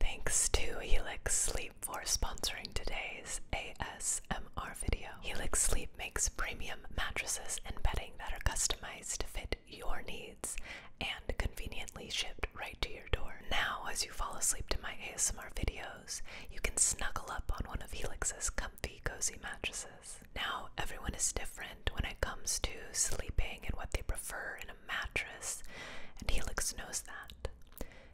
Thanks to Helix Sleep for sponsoring today's ASMR video. Helix Sleep makes premium mattresses and bedding that are customized to fit your needs and conveniently shipped right to your door. Now, as you fall asleep to my ASMR videos, you can snuggle up on one of Helix's comfy, cozy mattresses. Now, everyone is different when it comes to sleeping and what they prefer in a mattress, and Helix knows that.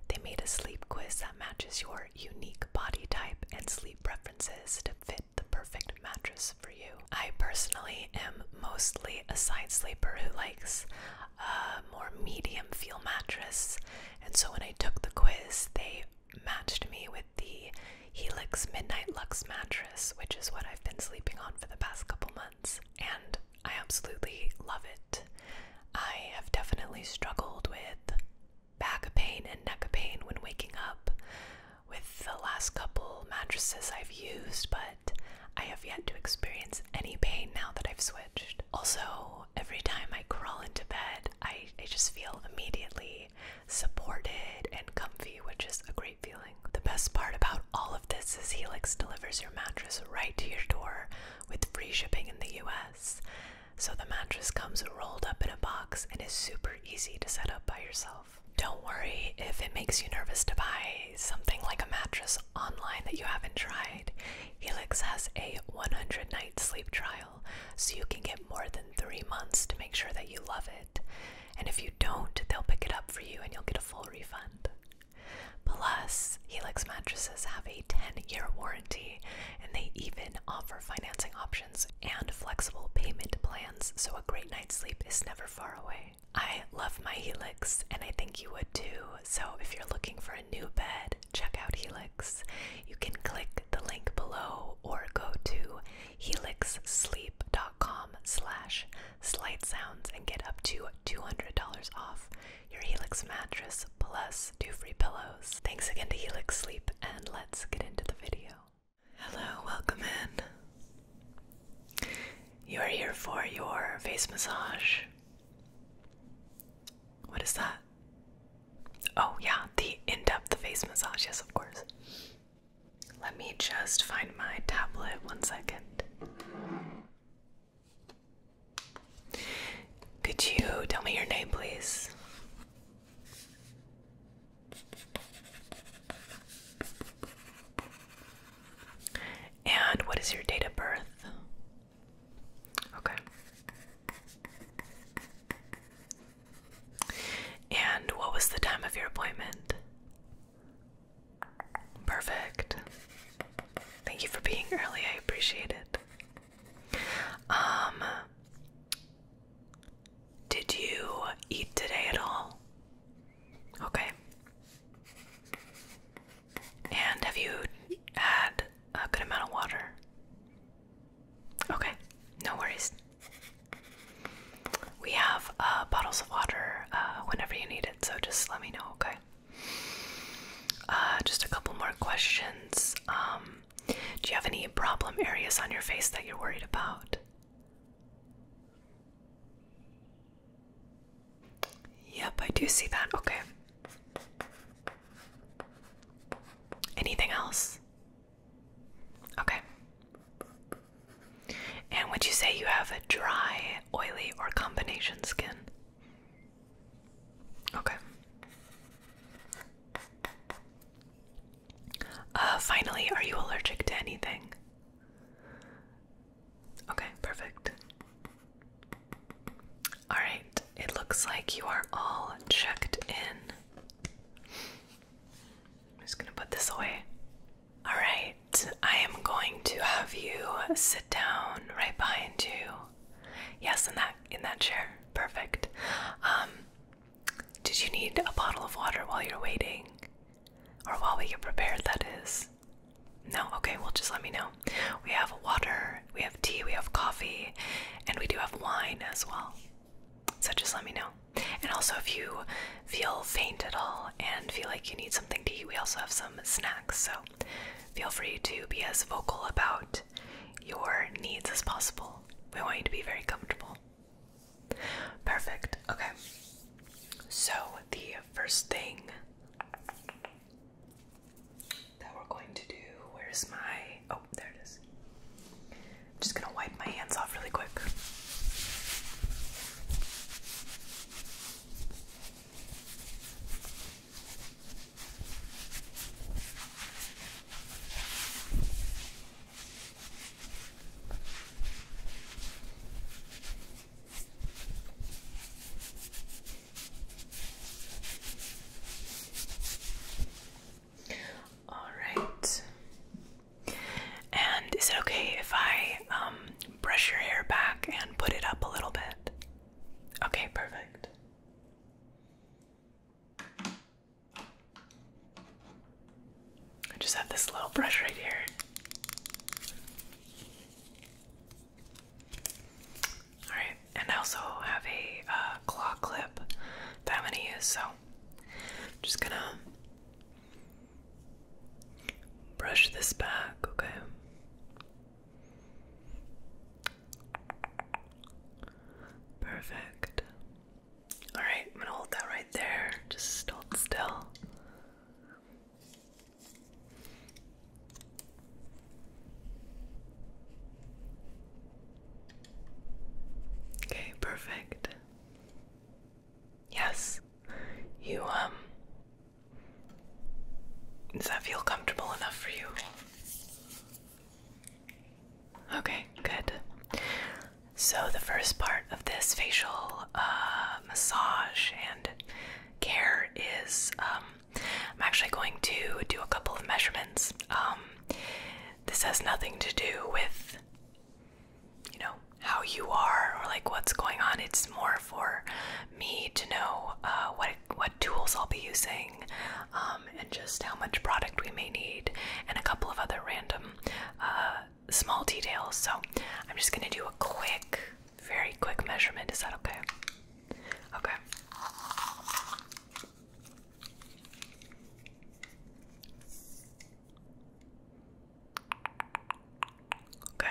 They made a sleep quiz that matches your unique body type and sleep preferences to fit the perfect mattress for you. I personally am mostly a side sleeper who likes a more medium feel mattress, and so when I took the quiz, they matched me with the Helix Midnight Lux mattress, which is what I've been sleeping on for the past couple months and I absolutely love it. I have definitely struggled with back pain and neck pain when waking up with the last couple mattresses I've used, but I have yet to experience any pain now that I've switched. Also, every time I crawl into bed, I just feel immediately supported and comfy, which is a great feeling. The best part about all of this is Helix delivers your mattress right to your door with free shipping in the US. So the mattress comes rolled up in a box and is super easy to set up by yourself. Don't worry if it makes you nervous to buy something like a mattress online that you haven't tried. Helix has a 100 night sleep trial, so you can get more than three months to make sure that you love it. And if you don't, they'll pick it up for you and you'll get a full refund. Plus, Helix mattresses have a 10 year warranty and they even offer financing options and flexible payment plans, so a great night's sleep is never far away. I love my Helix and I think you would too, so if you're looking for a new bed, check out Helix. You can click the link below or go to helixsleep.com slash slight sounds and get up to $200 off your Helix mattress plus two free pillows. Thanks again to Helix Sleep, and let's get into the video. Hello, welcome in. You are here for your face massage. What is that? Oh, yeah, the in depth face massage, yes, of course. Let me just find my tablet one second. Could you tell me your name, please? And what is your date of birth? Okay. And what was the time of your appointment? Perfect. Thank you for being early. I appreciate it. Um Did you eat today at all? Okay. And have you had a good amount of water? Okay. No worries. We have uh, bottles of water uh, whenever you need it, so just let me know, okay? Uh, just a couple more questions. Um, do you have any problem areas on your face that you're worried about? Yep, I do see that. Okay. Anything else? Okay. And would you say you have a dry, oily, or combination skin? Okay. Uh, finally, are you allergic to anything? Okay, perfect. Alright, it looks like you are all checked in. I'm just gonna put this away. Alright, I am going to have you sit down right behind you. Yes, in that in that chair. Perfect. Um, did you need a bottle of water while you're waiting, or while we get prepared? That is. No. Okay. Well, just let me know. We have water. We have tea. We have coffee, and we do have wine as well. So just let me know. And also, if you feel faint at all and feel like you need something to eat, we also have some snacks. So Feel free to be as vocal about your needs as possible. We want you to be very comfortable. Perfect. Okay. So, the first thing that we're going to do, where's my. Oh, there it is. I'm just going to wipe my hands off really quick. All right. And is it okay if I um, brush your hair back and put it up a little bit? Okay, perfect. I just have this little brush right here. Alright, and I also have a uh, claw clip that I'm gonna use, so just gonna brush this back, okay? Perfect. Alright, I'm gonna hold that right there. Just hold still. Okay, perfect. Yes. You um does that feel comfortable enough for you? Okay, good. So, the first part of this facial uh, massage and care is um, I'm actually going to do a couple of measurements. Um, this has nothing to do with, you know, how you are or like what's going on. It's more for me to know uh, what what tools I'll be using, um, and just how much product we may need, and a couple of other random uh, small details. So I'm just gonna do a quick, very quick measurement. Is that okay? Okay. Okay.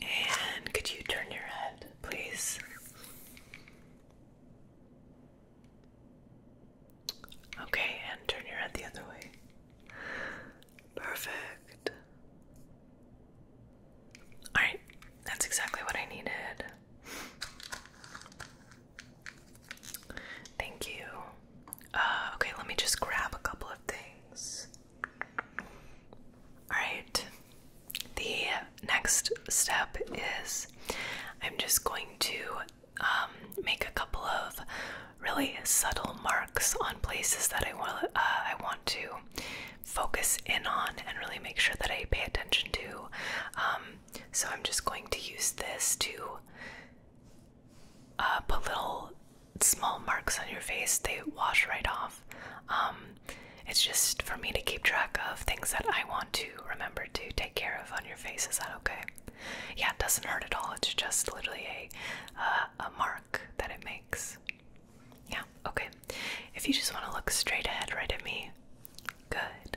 And could you turn your head, please? Okay, and turn your head the other way. Perfect. Alright, that's exactly what I needed. Thank you. Uh, okay, let me just grab a couple of things. Alright, the next step is I'm just going to um, make a couple of really subtle marks on places that I want, uh, I want to focus in on and really make sure that I pay attention to. Um, so I'm just going to use this to uh, put little small marks on your face, they wash right off. Um, it's just for me to keep track of things that I want to remember to take care of on your face. Is that okay? Yeah, it doesn't hurt at all. It's just literally a uh, a mark that it makes. Yeah, okay. If you just want to look straight ahead right at me, good.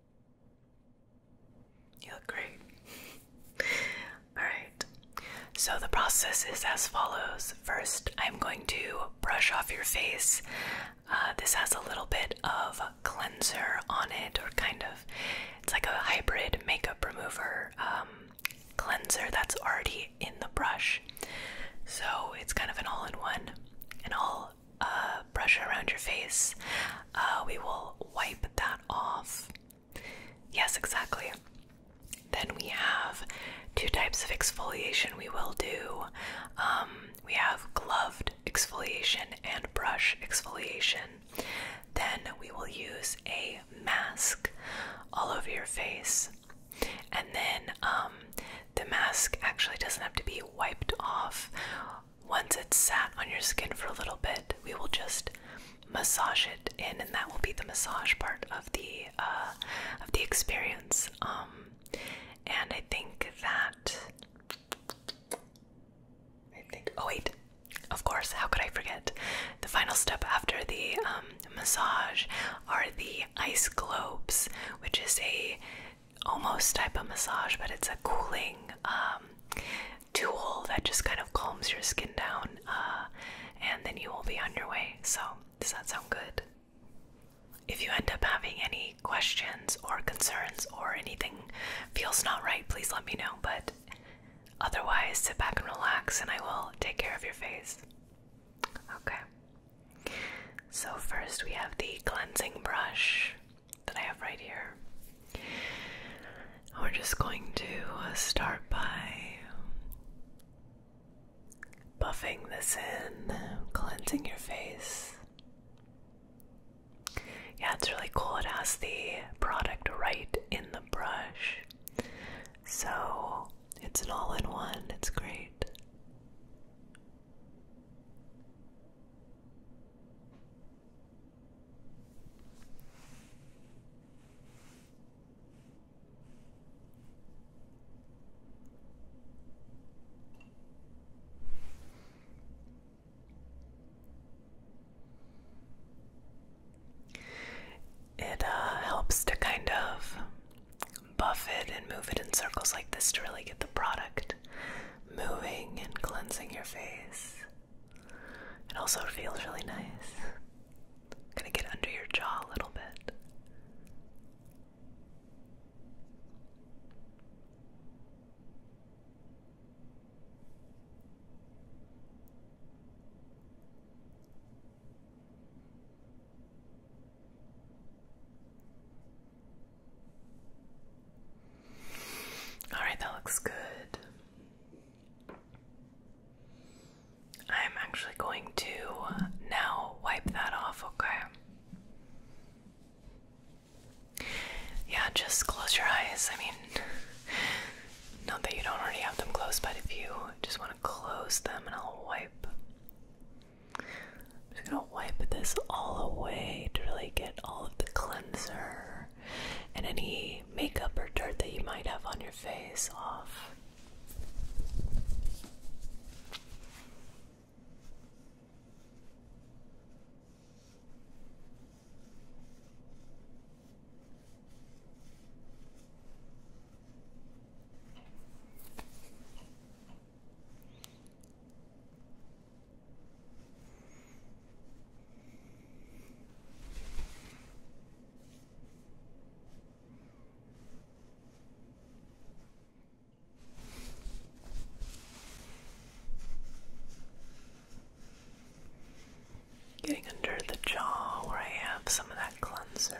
You look great. Alright, so the process is as follows. First, I'm going to brush off your face. Uh, this has a little bit of cleanser on it, or kind of. It's like a hybrid makeup remover um, cleanser that's already in the brush. So it's kind of an all in one. An all uh, brush around your face. Uh, we will wipe that off. Yes, exactly. Then we have two types of exfoliation we will do. Um, we have gloved exfoliation and brush exfoliation. Then we will use a mask all over your face. And then um, the mask actually doesn't have to be wiped off. Once it's sat on your skin for a little bit, we will just massage it in, and that will be the massage part of the uh, of the experience. Um, and I think that I think. Oh wait, of course. How could I forget? The final step after the um, massage are the ice globes, which is a almost type of massage, but it's a cooling um, tool that just kind of calms your skin down, uh, and then you will be on your way. So, does that sound good? If you end up having any questions or concerns or anything feels not right, please let me know. But otherwise, sit back and relax, and I will take care of your face. Okay. So, first we have the cleansing brush that I have right here. We're just going to uh, start by buffing this in, cleansing your face. Yeah, it's really cool. It has the product right in the brush. So it's an all in one, it's great. It uh, helps to kind of buff it and move it in circles like this to really get the product moving and cleansing your face. It also feels really nice. gonna get under your jaw a little bit. All right, that looks good. I'm actually going to now wipe that off, okay? Yeah, just close your eyes. I mean, not that you don't already have them closed, but if you just want to close them and I'll wipe wipe this all away to really get all of the cleanser and any makeup or dirt that you might have on your face off. Getting under the jaw where I have some of that cleanser.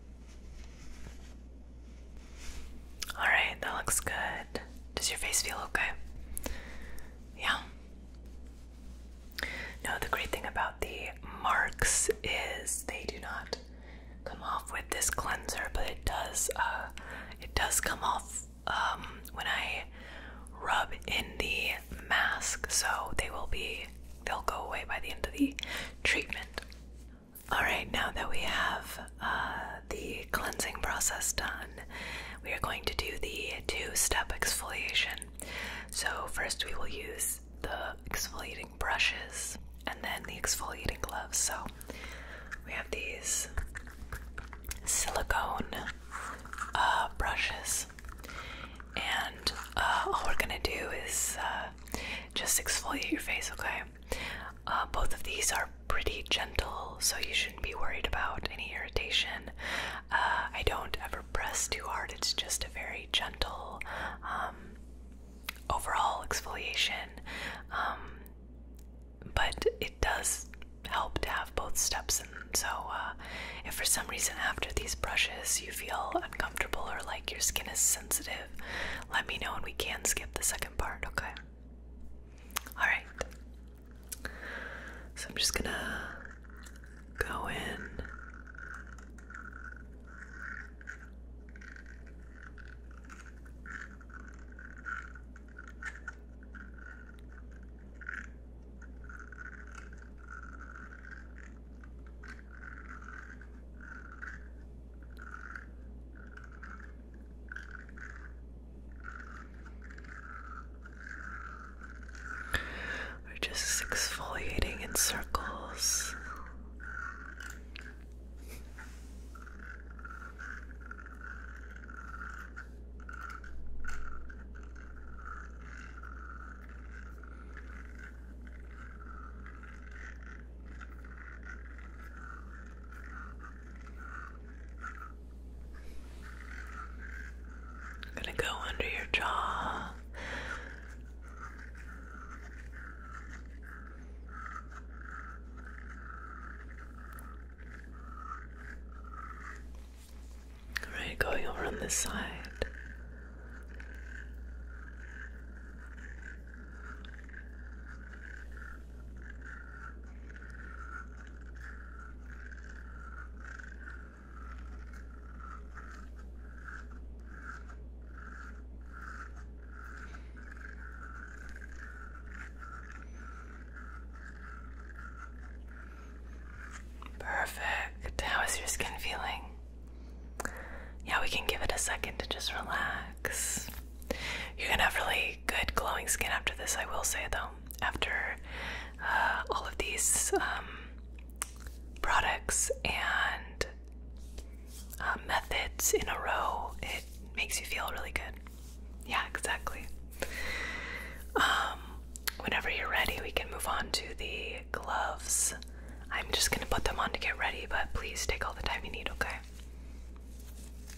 Alright, that looks good. Does your face feel okay? Yeah. No, the great thing about the marks is they do not come off with this cleanser, but it does uh, it does come off um, when I rub in the mask, so they will be they'll go away by the end of the treatment. All right, now that we have uh, the cleansing process done, we are going to do the two step exfoliation. So, first, we will use the exfoliating brushes and then the exfoliating gloves. So, we have these silicone uh, brushes, and uh, all we're gonna do is just exfoliate your face, okay? Uh, both of these are pretty gentle, so you shouldn't be worried about any irritation. Uh, I don't ever press too hard, it's just a very gentle um, overall exfoliation. Um, but it does help to have both steps And So, uh, if for some reason after these brushes you feel uncomfortable or like your skin is sensitive, let me know and we can skip the second part, okay? Alright. So I'm just gonna go in. We're just exfoliating in circles gonna go under your jaw. All right, going over on this side. Perfect. How is your skin feeling? Yeah, we can give it a second to just relax. You're gonna have really good glowing skin after this, I will say though. After uh, all of these um, products and uh, methods in a row, it makes you feel really good. Yeah, exactly. Um, whenever you're ready, we can move on to the gloves. I'm just gonna put them on to get ready, but please take all the time you need, okay?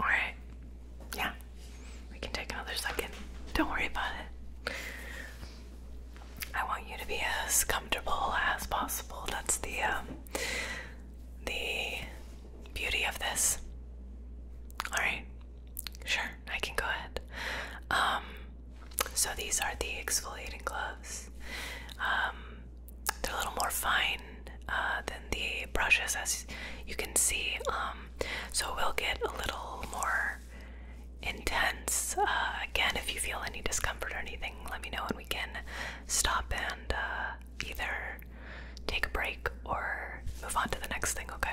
All right. Yeah. We can take another second. Don't worry about it. I want you to be as comfortable as possible. That's the um, the beauty of this. All right. Sure. I can go ahead. Um, so these are the exfoliating gloves. Um, they're a little more fine uh, than the brushes, as you can see. Um, so we'll get a little more intense. Uh, again, if you feel any discomfort or anything, let me know and we can stop and uh, either take a break or move on to the next thing, okay?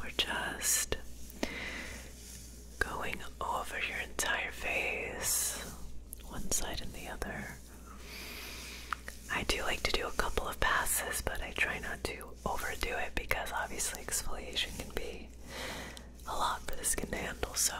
We're just going over your entire face, one side and the other. I do like to do a couple of passes, but I try not to overdo it because obviously exfoliation can be a lot for the skin to handle, so.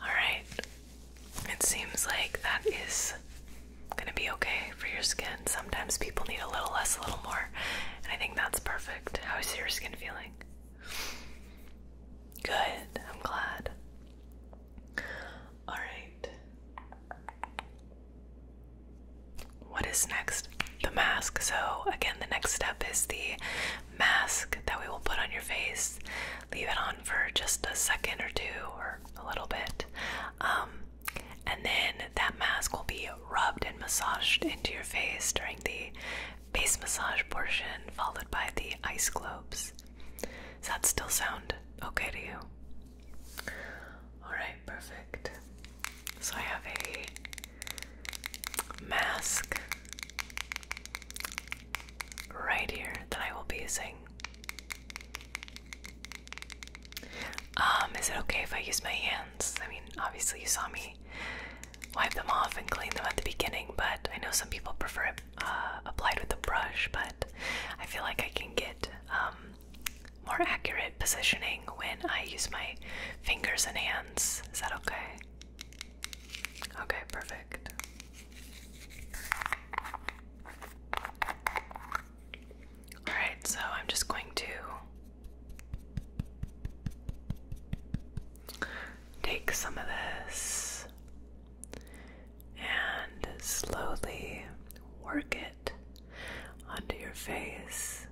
All right. It seems like that is going to be okay for your skin. Sometimes people need a little less, a little more, and I think that's perfect. How is your skin feeling? Good. I'm glad. All right. What is next? The mask. So, again, the next step is the mask that we will put on your face. Leave it on for just a second or two or a little bit. Um, and then that mask will be rubbed and massaged into your face during the face massage portion, followed by the ice globes. Does that still sound okay to you? Alright, perfect. So I have a mask right here that I will be using. Um, is it okay if I use my hands? I mean, obviously you saw me wipe them off and clean them at the beginning, but I know some people prefer uh, applied with a brush, but I feel like I can get um, more accurate positioning when I use my fingers and hands. Is that okay? Okay, perfect. Alright, so I'm just going to take some of this and slowly work it onto your face.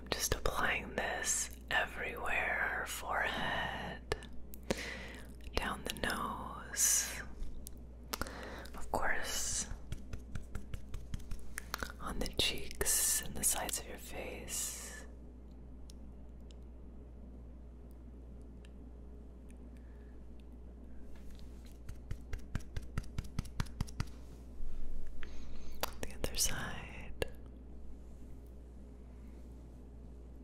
I'm just applying this everywhere forehead down the nose, of course, on the cheeks and the sides of your face. The other side,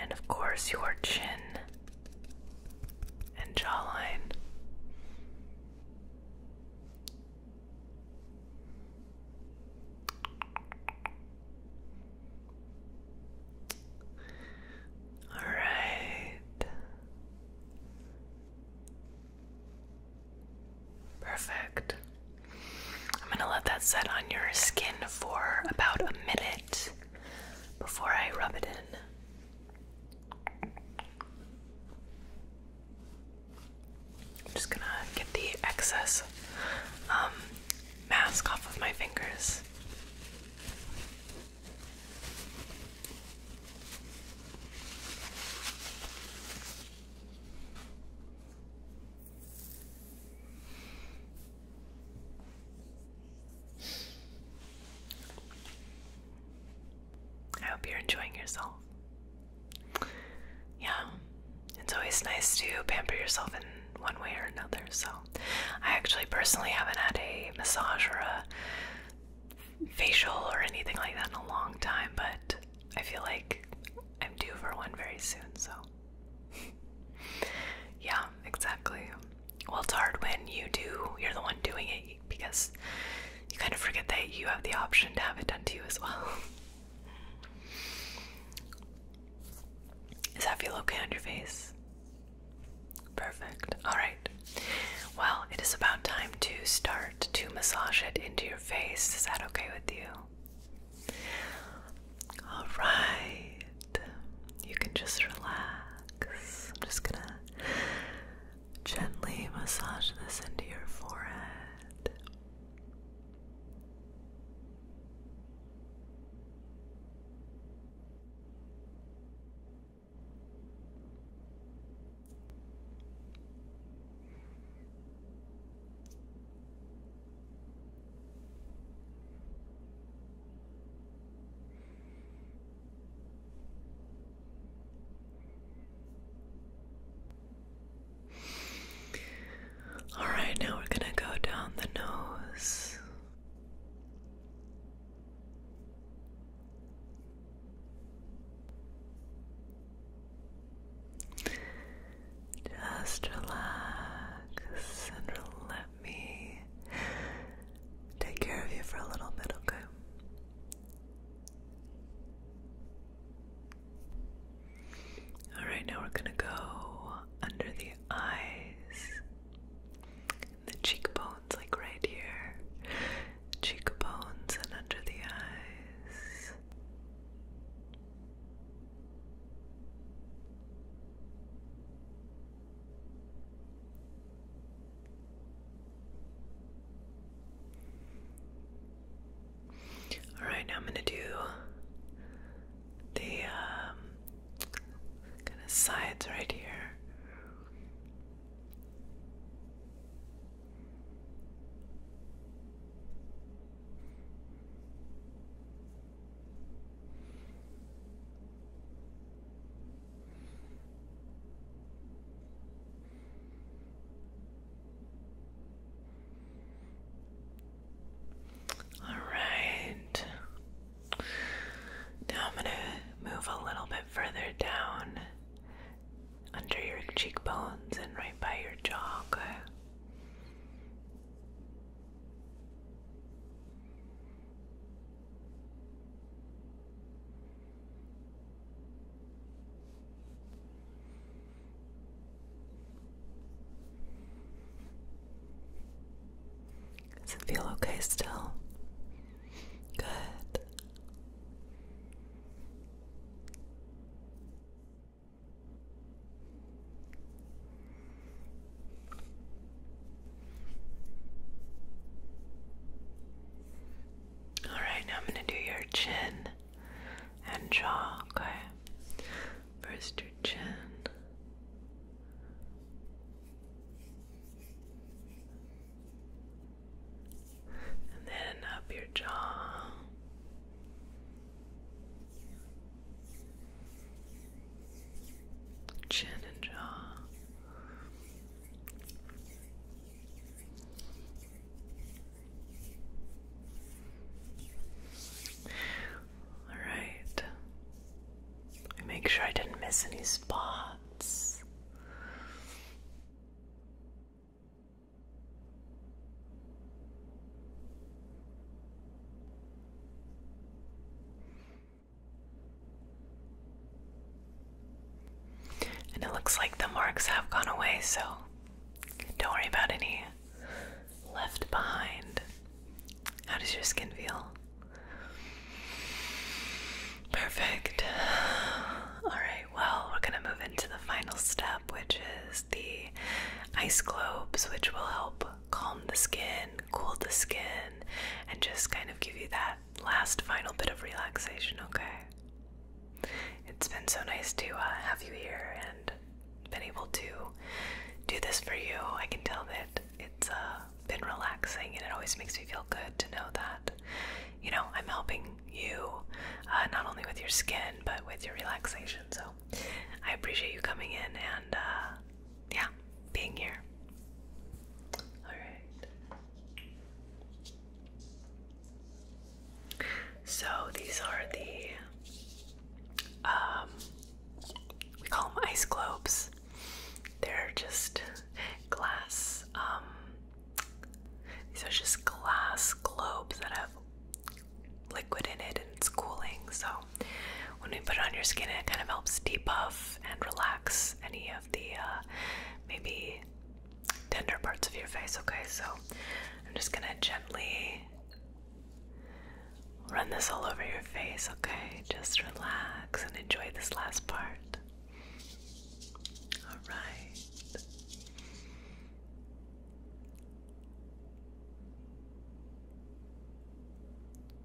And of course, your chin and jawline. All right. Perfect. I'm gonna let that set on your skin for about a minute before I rub it in. I'm just gonna get the excess um, mask off of my fingers. I hope you're enjoying yourself. Yeah, it's always nice to pamper yourself in one way or another. So, I actually personally haven't had a massage or a facial or anything like that in a long time, but I feel like I'm due for one very soon. So, yeah, exactly. Well, it's hard when you do, you're the one doing it because you kind of forget that you have the option to have it done to you as well. Does that feel okay on your face? Perfect. Alright. Well, it is about time to start to massage it into your face. Is that okay with you? All right, you can just relax. I'm just gonna gently massage this into your forehead. All right, now we're going to go down the nose. Just relax and let me take care of you for a little bit, okay? Alright, now we're gonna go under the eyes, the cheekbones, like right here. Cheekbones and under the eyes. All right, now I'm going to do the um, kind of sides right here. All right. Now I'm going to move a little bit further down under your cheekbones and right by your jaw. Does it feel okay still? Good. All right, now I'm going to do your chin and jaw, okay? First, your chin. And then up your jaw. Chin and jaw. All right. Make sure I didn't miss any spots. And it looks like the marks have gone away, so don't worry about any left behind. How does your skin feel? Perfect. Alright, well, we're going to move into the final step, which is the ice globes, which will help calm the skin cool the skin, and just kind of give you that last final bit of relaxation, okay? It's been so nice to uh, have you here and been able to do this for you. I can tell that it's uh, been relaxing, and it always makes me feel good to know that, you know, I'm helping you uh, not only with your skin but with your relaxation. So I appreciate you coming in and yeah, being here. Alright. So these are the um we call them ice globes. They're just glass, um these are just glass globes that have liquid in it and it's cooling, so when we put it on your skin, it kind of helps debuff and relax any of the uh, maybe tender parts of your face. Okay, so I'm just gonna gently run this all over your face. Okay, just relax and enjoy this last part. All right.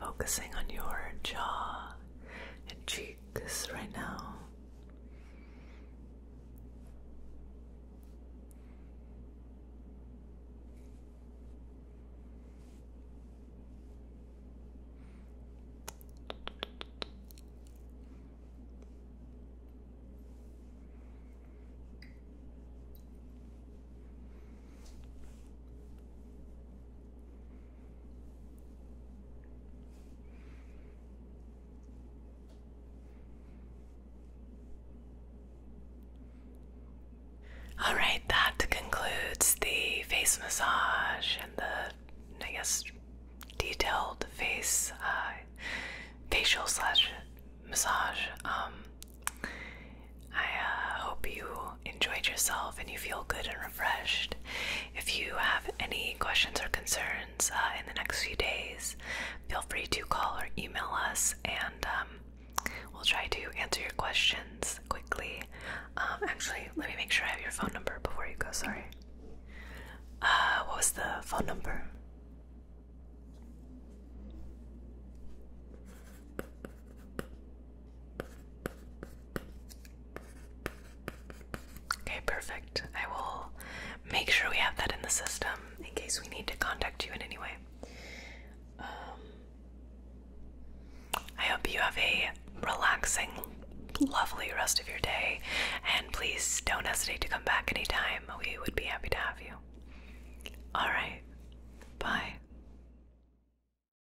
Focusing on your jaw and cheeks right now. All right, that concludes the face massage and the, I guess, detailed face, uh, facial slash massage. Um, I uh, hope you enjoyed yourself and you feel good and if you have any questions or concerns uh, in the next few days, feel free to call or email us, and um, we'll try to answer your questions quickly. Um, actually, let me make sure I have your phone number before you go. Sorry. Uh, what was the phone number? Okay, perfect. I will make sure we have that in the system in case we need to contact you in any way. Um, I hope you have a relaxing, lovely rest of your day, and please don't hesitate to come back anytime. We would be happy to have you. Alright, bye.